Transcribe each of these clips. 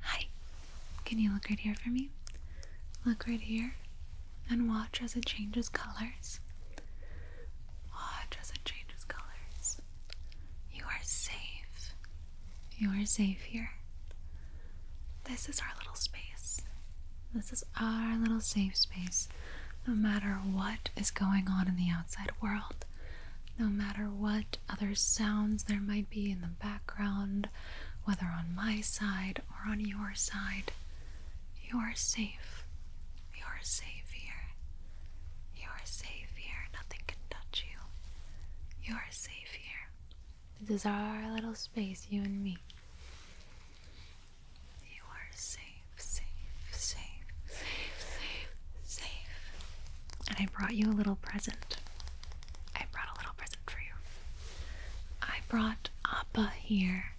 Hi. Can you look right here for me? Look right here and watch as it changes colors. Watch as it changes colors. You are safe. You are safe here. This is our little space. This is our little safe space. No matter what is going on in the outside world, no matter what other sounds there might be in the background, whether on my side or on your side, you are safe. You are safe here. You are safe here. Nothing can touch you. You are safe here. This is our little space, you and me. You are safe, safe, safe, safe, safe, safe and I brought you a little present. I brought a little present for you. I brought Appa here.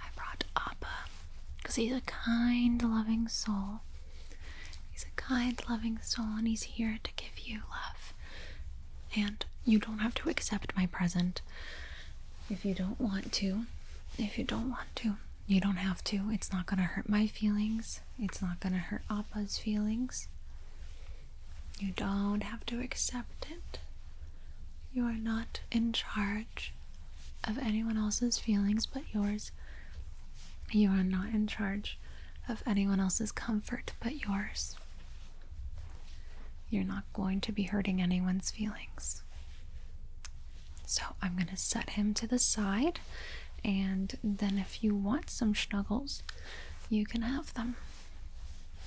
I brought Appa because he's a kind, loving soul. He's a kind, loving soul, and he's here to give you love. And you don't have to accept my present if you don't want to. If you don't want to, you don't have to. It's not going to hurt my feelings. It's not gonna hurt Appa's feelings. You don't have to accept it. You are not in charge of anyone else's feelings but yours. You are not in charge of anyone else's comfort but yours. You're not going to be hurting anyone's feelings. So I'm going to set him to the side and then if you want some snuggles, you can have them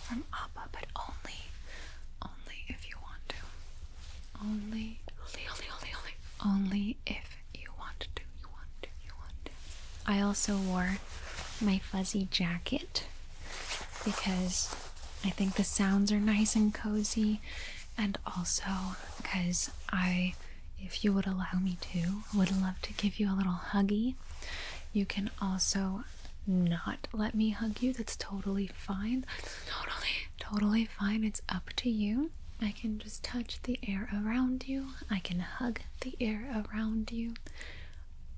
from Appa, but only, only if you want to. only, only, only, only, only if you want to. You want to. You want to. I also wore my fuzzy jacket because I think the sounds are nice and cozy, and also because I if you would allow me to, would love to give you a little huggy. You can also not let me hug you. That's totally fine. Totally, totally fine. It's up to you. I can just touch the air around you. I can hug the air around you.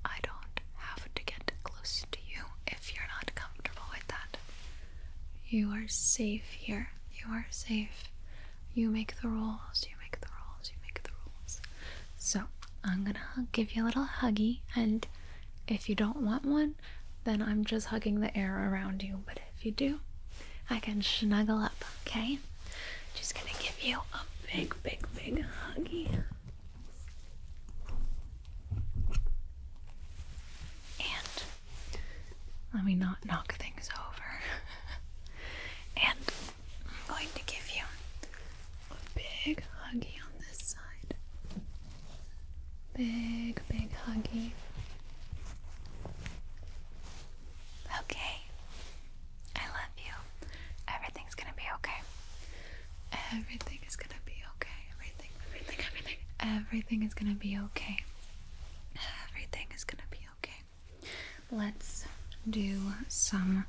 I don't have to get close to you if you're not comfortable with that. You are safe here. You are safe. You make the rules, you make the rules, you make the rules. So, I'm gonna give you a little huggy, and if you don't want one, then I'm just hugging the air around you. But if you do, I can snuggle up, okay? Just gonna give you a big, big, big huggy. And let me not knock things over. and I'm going to give you a big huggy on this side. Big, big huggy. Okay. I love you. Everything's gonna be okay. Everything is gonna be okay. Everything, everything, everything. Everything is gonna be okay. Everything is gonna be okay. Let's do some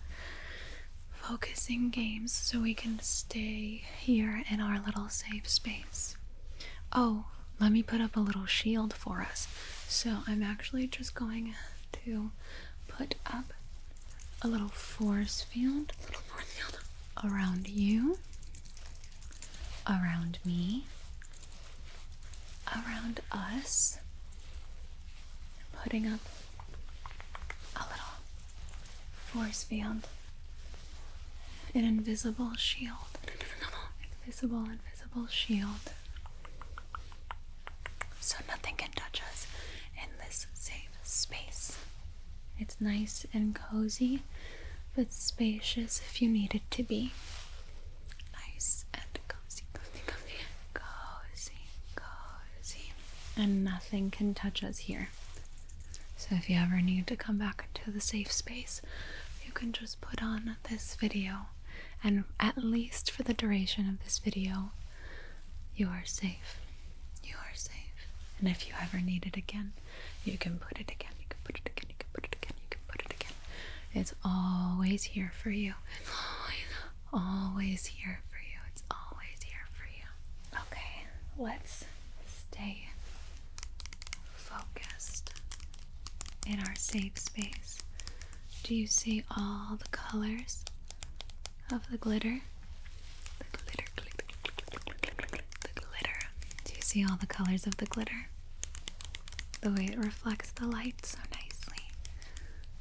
focusing games so we can stay here in our little safe space. Oh, let me put up a little shield for us. So I'm actually just going to put up a little force field, little force field. around you, around me, around us. putting up a little force field, an invisible shield, invisible, invisible shield. So nothing can touch us in this safe space. It's nice and cozy, but spacious if you need it to be nice and cozy, cozy, cozy, cozy, And nothing can touch us here. So if you ever need to come back to the safe space, you can just put on this video. And at least for the duration of this video, you are safe. You are safe. And if you ever need it again, you can put it again, you can put it again, you can put it again, you can put it again. It's always here for you. always, here for you. It's always here for you. Okay, let's stay focused in our safe space. Do you see all the colors of the glitter? The glitter. Do you see all the colors of the glitter? the way it reflects the light so nicely.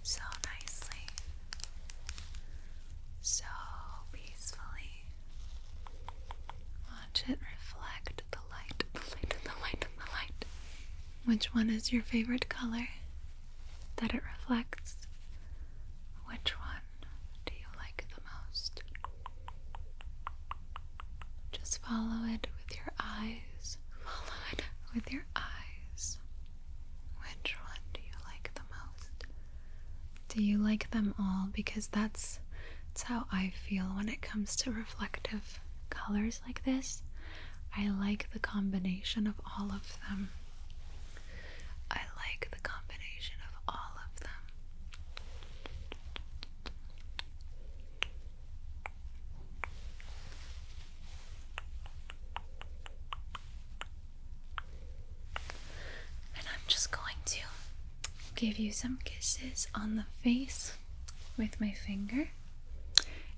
So nicely. So peacefully. Watch it reflect the light, the light, the light, the light. Which one is your favorite color that it reflects? Which one do you like the most? Just follow it with your eyes with your eyes. Which one do you like the most? Do you like them all? Because that's, that's how I feel when it comes to reflective colors like this. I like the combination of all of them. I like the combination of all of them. And I'm just going to give you some kisses on the face with my finger.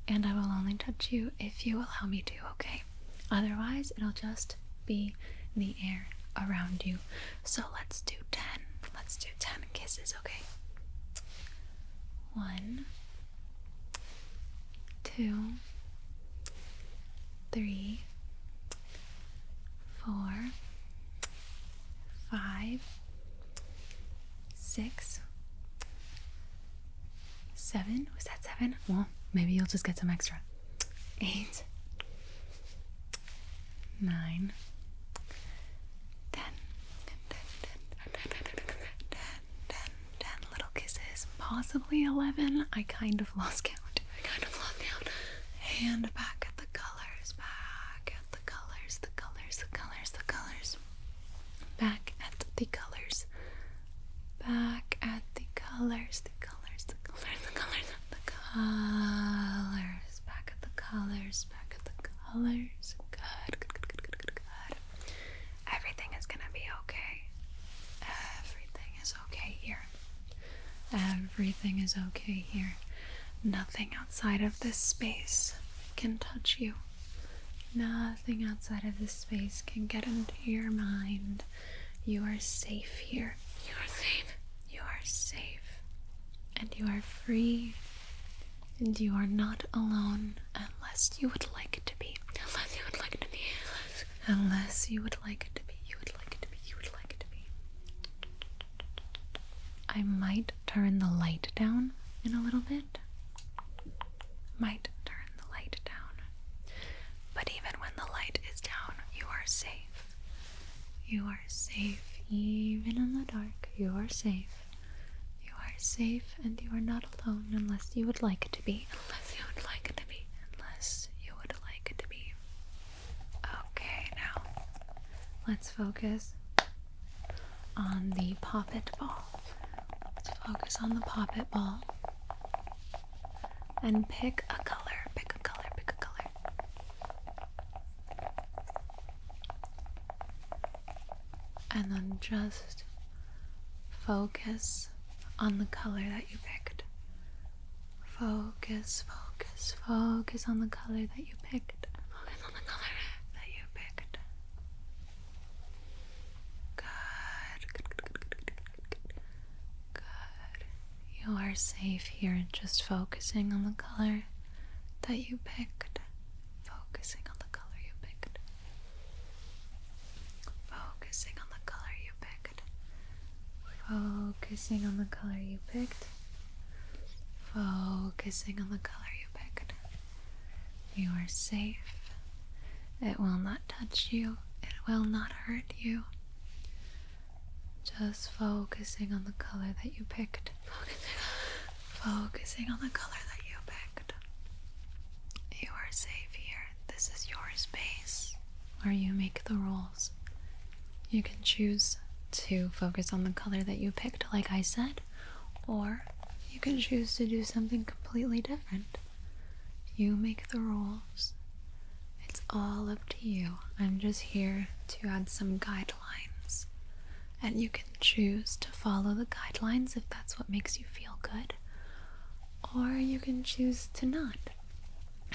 And I will only touch you if you allow me to, okay? Otherwise, it'll just be the air around you. So let's do 10. Let's do ten kisses, okay? One, two, three, four, five, six, seven. Was that seven? Well, maybe you'll just get some extra. Eight, nine, ten ten, ten, ten little kisses, possibly eleven. I kind of lost count. I kind of lost count. And back at the colors, back at the colors, the colors, the colors, the colors. Back at the colors. Back at the colors, the colors, the colors, the colors, the colors. Back at the colors, just at the colors. good, good, good, good, good. Everything is gonna be okay. Everything is okay here. Everything is okay here. Nothing outside of this space can touch you. Nothing outside of this space can get into your mind. You are safe here. You are safe. You are safe. And you are free. And you are not alone unless you would like it to be. Unless you would like it to be. Unless you would like it to be. You would like it to be. You would like it to be. I might turn the light down in a little bit. Might turn the light down. But even when the light is down, you are safe. You are are safe, even in the dark. You are safe. You are safe, and you are not alone unless you would like it to be. Unless you would like to be. Unless you would like to be. Okay, now let's focus on the poppet ball. Let's focus on the poppet ball and pick a color. Pick a color. Pick a color and then just focus on the color that you picked. Focus, focus, focus on the color that you picked. Focus on the color that you picked. Good, good, good, good, good, You are safe here, just focusing on the color that you picked, focusing on the color you picked, focusing on the color you picked, focusing on the color you picked, focusing on the color you picked. You are safe. It will not touch you, it will not hurt you. Just focusing on the color that you picked. Focusing on the color that you picked. You are safe here. This is your space where you make the rules. You can choose to focus on the color that you picked, like I said, or you can choose to do something completely different. You make the rules. It's all up to you. I'm just here to add some guidance guidelines. And you can choose to follow the guidelines if that's what makes you feel good, or you can choose to not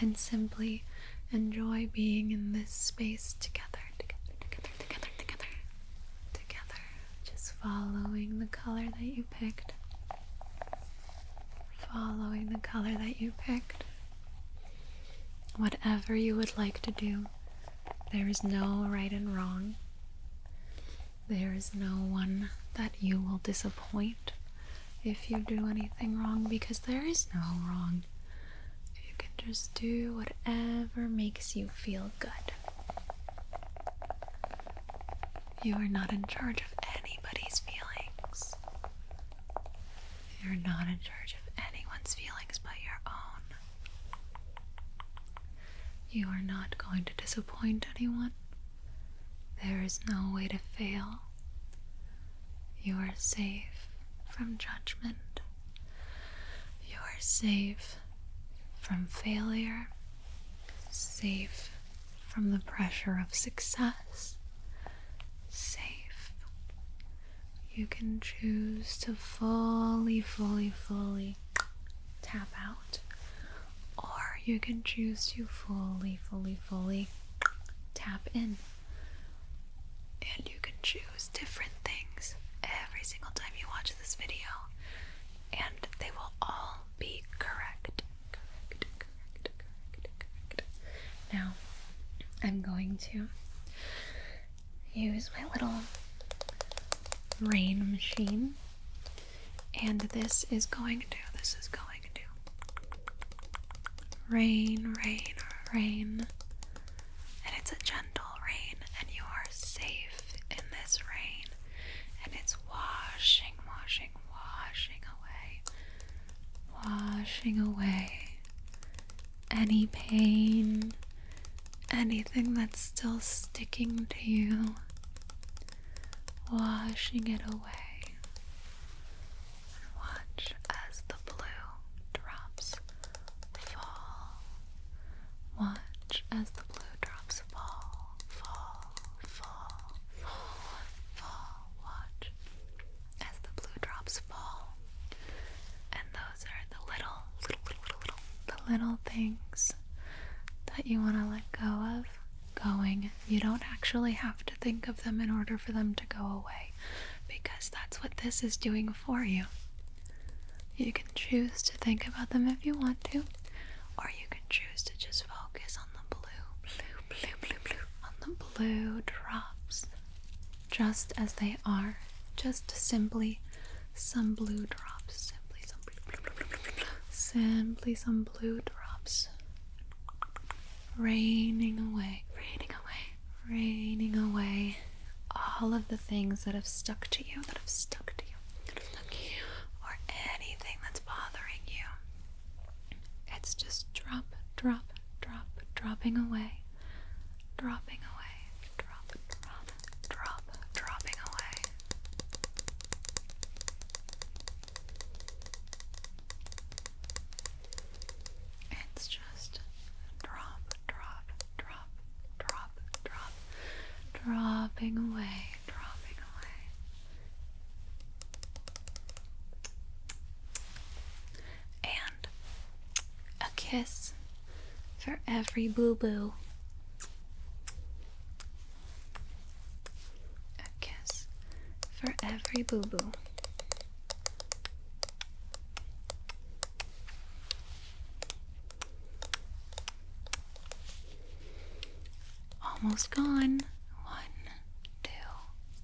and simply enjoy being in this space together, together, together, together, together, together. Just following the color that you picked, following the color that you picked. Whatever you would like to do, there is no right and wrong. There is no one that you will disappoint if you do anything wrong because there is no wrong. You can just do whatever makes you feel good. You are not in charge of anybody's feelings. You're not in charge of anyone's feelings but your own. You are not going to disappoint anyone. There is no way to fail. You are safe from judgment. You are safe from failure, safe from the pressure of success, safe you can choose to fully, fully, fully tap out, or you can choose to fully, fully, fully tap in. And you can choose different things every single time you watch this video, and they will all be correct. Now, I'm going to use my little rain machine, and this is going to, this is going to rain, rain, rain. And it's a gentle rain, and you are safe in this rain. And it's washing, washing, washing away, washing away any pain, anything that's still sticking to you, washing it away. watch as the blue drops fall. Watch as the blue drops fall, fall, fall, fall, fall. Watch as the blue drops fall. And those are the little, little, little, little, the little things that you want to let go of going. You don't actually have to think of them in order for them to go away because that's what this is doing for you. You can choose to think about them if you want to, or you can choose to just focus on the blue, blue, blue, blue, blue, on the blue drops just as they are, just simply some blue drops, simply some blue, simply some blue drops, raining away, raining away, raining away, all of the things that have stuck to you, that have stuck to you, that have stuck to you, or anything that's bothering you. It's just drop, drop, drop, dropping away dropping away, drop, drop, drop, dropping away. It's just drop, drop, drop, drop, drop, dropping away, dropping away and a kiss for every boo boo. A kiss for every boo boo. Almost gone. One, two,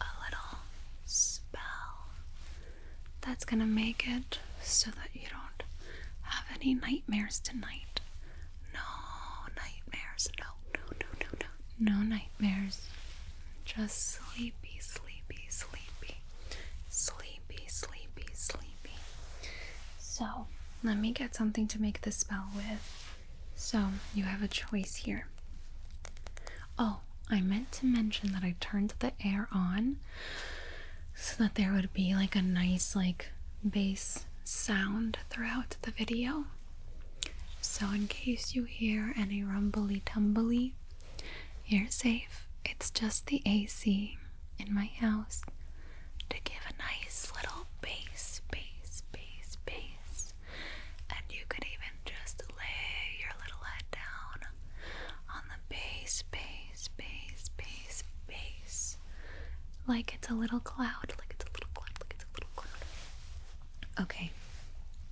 a little spell that's gonna make it so that you don't have any nightmares tonight. No nightmares. No, no, no, no, no. nightmares. Just sleepy, sleepy, sleepy. Sleepy, sleepy, sleepy. So, let me get something to make the spell with. So, you have a choice here. Oh, I meant to mention that I turned the air on so that there would be like a nice like bass sound throughout the video. So in case you hear any rumbly tumbly, you're safe. It's just the AC in my house to give a nice little bass, bass, bass, bass and you could even just lay your little head down on the base, base, base, base, base. Like it's a little cloud, like it's a little cloud, like it's a little cloud. Okay,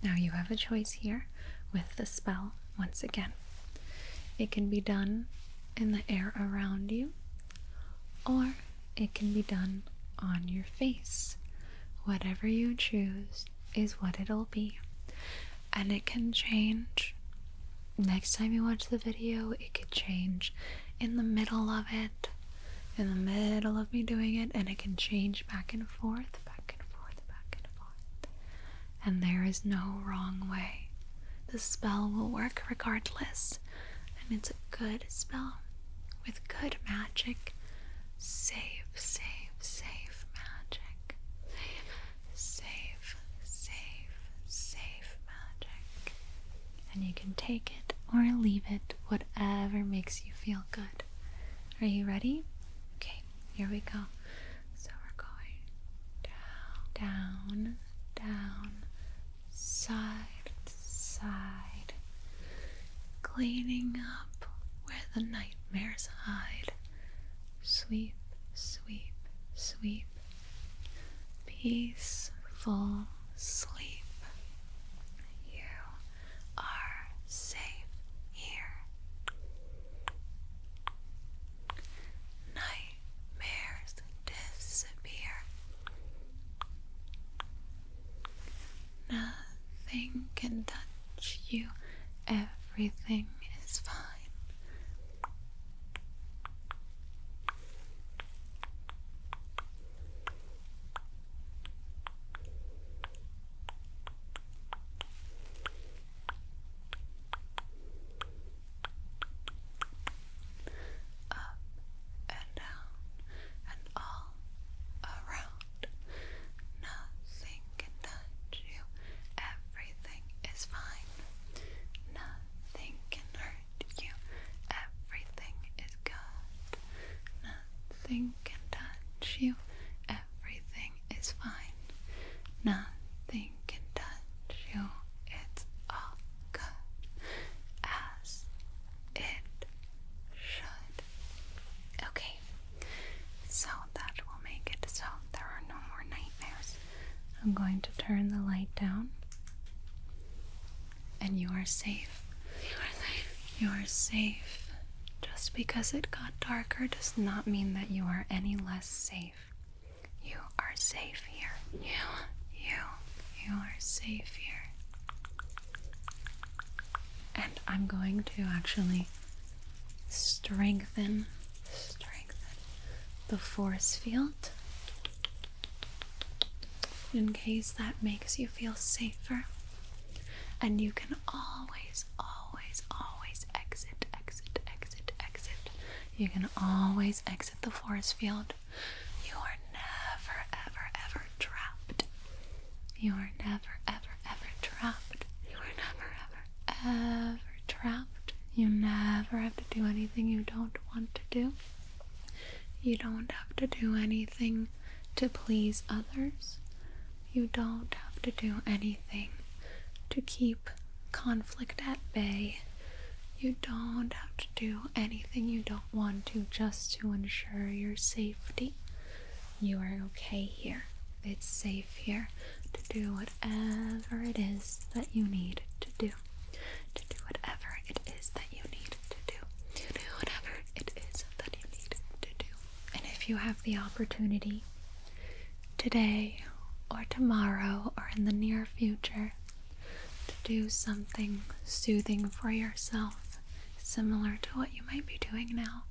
now you have a choice here with the spell once again. It can be done in the air around you, or it can be done on your face. Whatever you choose is what it'll be. And it can change. Next time you watch the video, it could change in the middle of it. In the middle of me doing it, and it can change back and forth, back and forth, back and forth. And there is no wrong way. The spell will work regardless, and it's a good spell with good magic Save, save, save magic. Save, save, save magic. And you can take it or leave it, whatever makes you feel good. Are you ready? Okay, here we go. So we're going down, down, down, side, side, cleaning up where the nightmares hide. Sweep, sweep, sweep. Peaceful sleep. You are safe here. Nightmares disappear. Nothing can touch you. Everything is fine. Up and down and all around. Nothing can touch you. Everything is fine. Nothing can hurt you. Everything is good. Nothing can touch you. Everything is fine. Nothing can touch you. It's all good. As it should. Okay, so that will make it so there are no more nightmares. I'm going to turn the light down, and you are safe. You are safe. You are safe. Just because it got darker does not mean that you are any less safe. You are safe here. You, you, you are safe here. And I'm going to actually strengthen, strengthen the force field in case that makes you feel safer. And you can always, always, always exit, exit, exit, exit. You can always exit the force field. You are never, ever, ever trapped. You are never, ever, ever trapped. You are never, ever, ever trapped. You never have to do anything you don't want to do. You don't have to do anything to please others. You don't have to do anything to keep conflict at bay. You don't have to do anything you don't want to just to ensure your safety. You are okay here. It's safe here to do whatever it is that you need to do. To do whatever it is that you need to do. To do whatever it is that you need to do. And if you have the opportunity today or tomorrow or in the near future to do something soothing for yourself similar to what you might be doing now,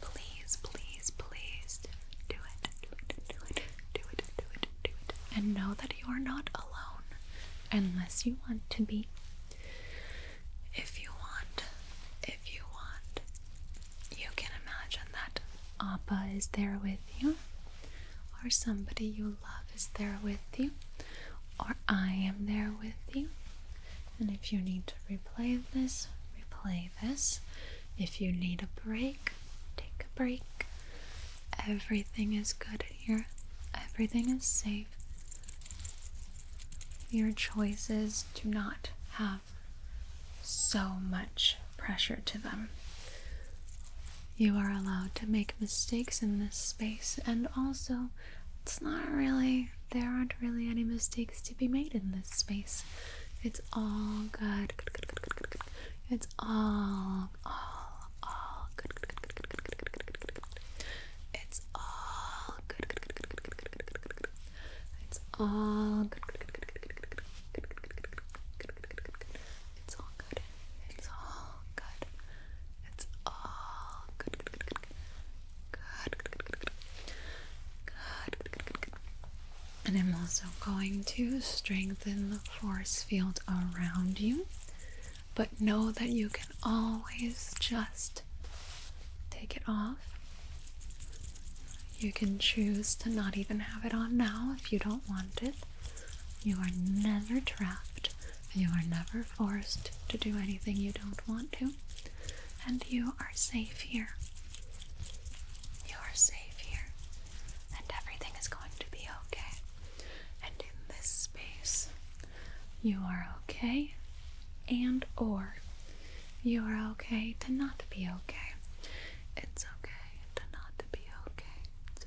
please, please, please do it. Do it, do it, do it, do it, do it. And know that you are not alone unless you want to be. If you want, if you want, you can imagine that Appa is there with you or somebody you love is there with you, or I am there with you. And if you need to replay this, replay this. If you need a break, take a break. Everything is good here, everything is safe. Your choices do not have so much pressure to them. You are allowed to make mistakes in this space, and also it's not really, there aren't really any mistakes to be made in this space. It's all good. It's all, all, all good, It's all good, It's all good. It's all good. It's all good. It's all good. Good. Good. Good. Good. Good. Good. Good. And I'm also going to strengthen the force field around you. But know that you can always just take it off. You can choose to not even have it on now if you don't want it. You are never trapped. You are never forced to do anything you don't want to, and you are safe here. You are safe here, and everything is going to be okay. And in this space, you are okay and or you are okay to not be okay. It's okay to not be okay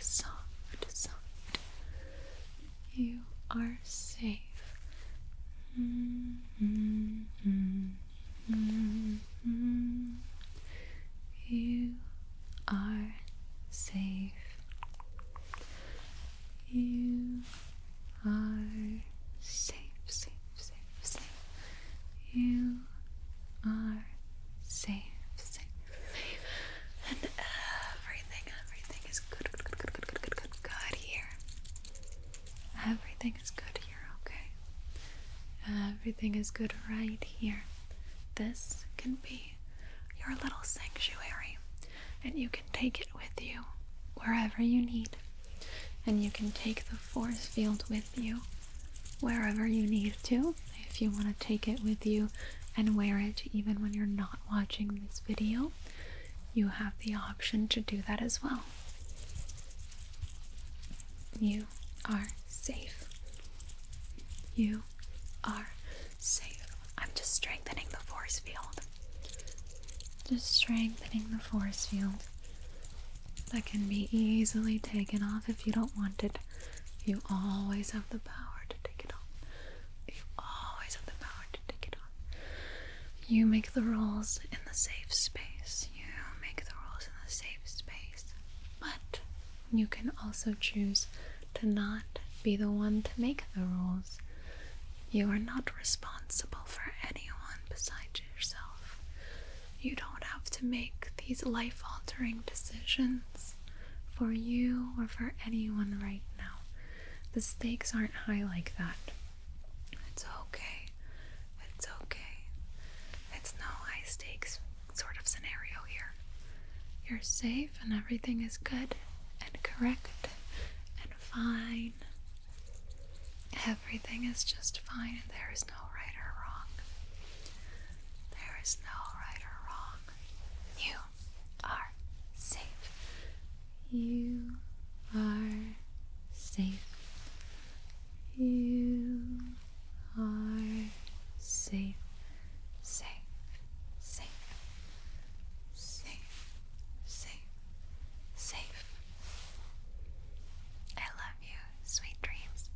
soft, soft, You are safe. You are safe. You are safe, safe, safe, safe. You are safe, safe. And uh, everything, everything is good, good, good, good, good, good, good, here. Everything is good here, okay? Everything is good right here. This can be your little sanctuary, and you can take it with you wherever you need. And you can take the force field with you wherever you need to if you want to take it with you and wear it even when you're not watching this video, you have the option to do that as well. You are safe. You are safe. I'm just strengthening the force field. Just strengthening the force field that can be easily taken off if you don't want it you always have the power to take it on. You always have the power to take it on. You make the rules in the safe space. You make the rules in the safe space. But you can also choose to not be the one to make the rules. You are not responsible for anyone besides yourself. You don't have to make these life altering decisions for you or for anyone right now. The stakes aren't high like that. It's okay. It's okay. It's no high stakes sort of scenario here. You're safe and everything is good and correct and fine. Everything is just fine and there is no right or wrong. There is no right or wrong. You are safe. You are safe. You are safe. Safe. Safe. Safe. Safe. I love you. Sweet dreams.